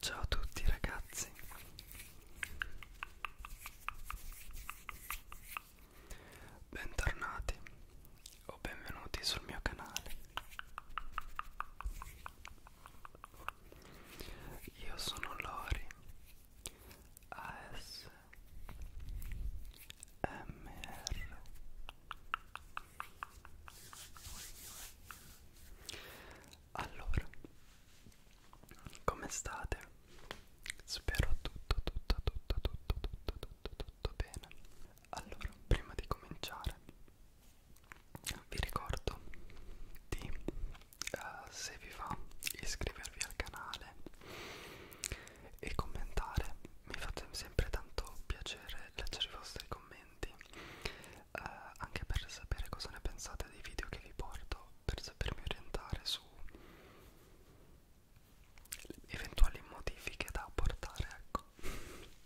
Ciao a tutti ragazzi Bentornati o benvenuti sul mio canale Io sono Lori ASMR allora, come state? Spero tutto, tutto, tutto, tutto, tutto, tutto, tutto bene. Allora, prima di cominciare, vi ricordo di, uh, se vi va, iscrivervi al canale e commentare. Mi fate sempre tanto piacere leggere i vostri commenti commenti eh, anche per sapere cosa ne pensate dei video che vi porto per sapermi orientare su eventuali modifiche da apportare ecco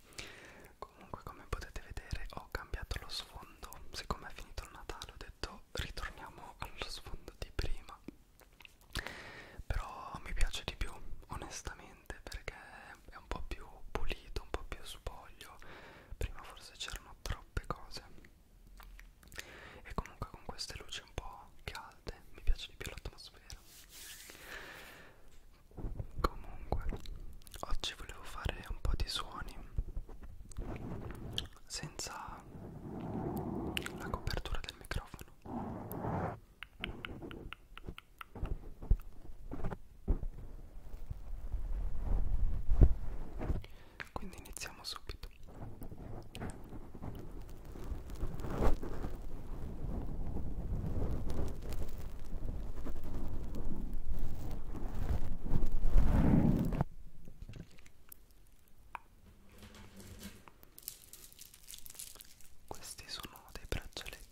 comunque come potete vedere ho cambiato lo sfondo siccome è finito il Natale ho detto ritorniamo allo sfondo di prima però mi piace di più onestamente perché è un po' più pulito un po' più spoglio prima forse c'erano troppe cose e comunque con queste luci un po' calde mi piace di più l'atmosfera comunque oggi volevo fare un po' di suoni senza la copertura del microfono quindi iniziamo subito. Questi sono dei braccialetti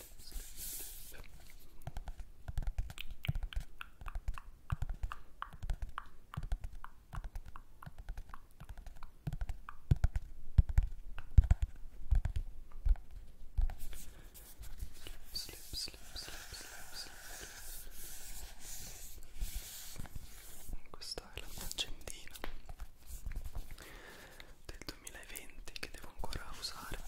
Slip, slip, slip, slip, slip. Questa è la faccendina del 2020 2020 che devo ancora usare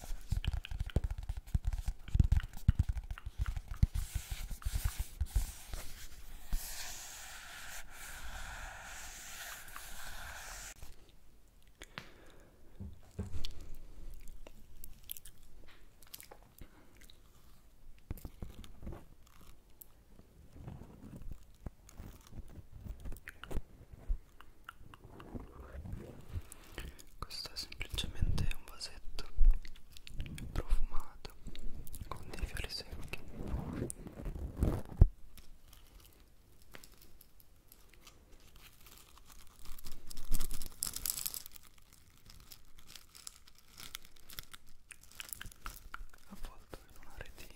questo è semplicemente un vasetto profumato con dei fiori secchi avvolto in una retina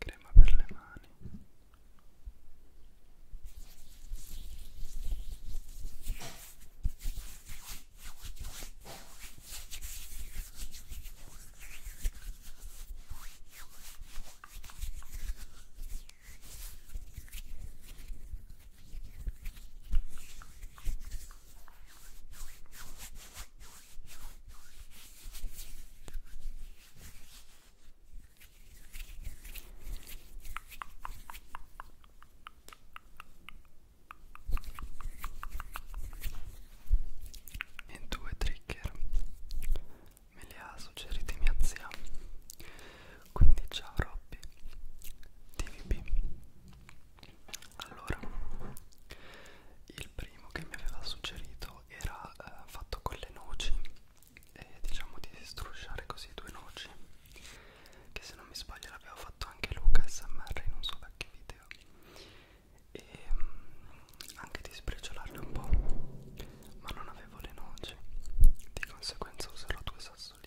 crema per le mani e due trigger me le ha suggerite mia zia quindi ciao Robby TVP allora il primo che mi aveva suggerito gelato era eh, fatto con le noci e diciamo di strusciare così due noci che se non mi sbaglio l'aveva fatto anche Luca SMR in un suo vecchio video e mm, anche di spriciolarle un po' ma non avevo le noci di conseguenza userò due sassolini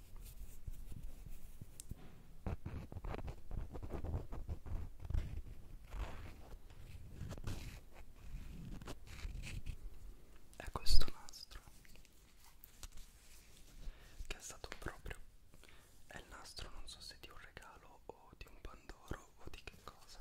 è questo nastro che è stato proprio è il nastro non so se di un regalo o di un pandoro o di che cosa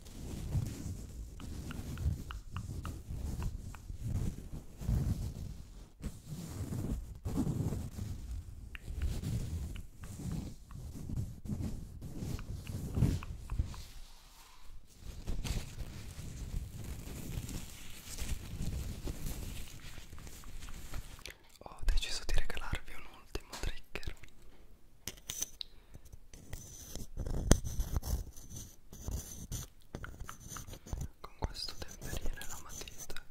Ho deciso di regalarvi un ultimo trigger con questo temperire la matita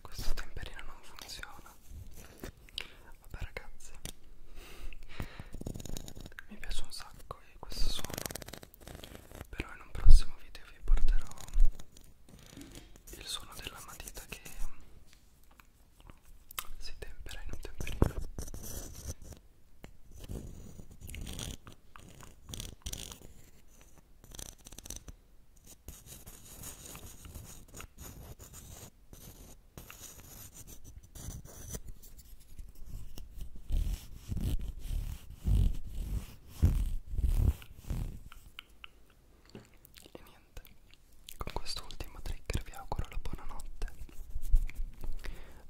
questo temperino non funziona. Vabbè ragazzi, mi piace un sacco e questo suono, però in un prossimo video vi porterò il suono della matita che si tempera in un temperino. E niente, con quest'ultimo trigger vi auguro la buonanotte.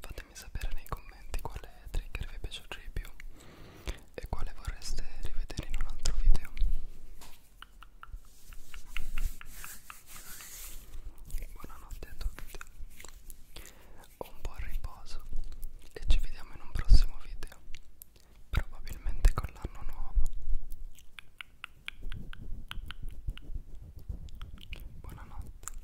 Fatemi sapere nei commenti quale trigger vi è piaciuto di più e quale vorreste rivedere in un altro video buonanotte a tutti un buon riposo e ci vediamo in un prossimo video probabilmente con l'anno nuovo buonanotte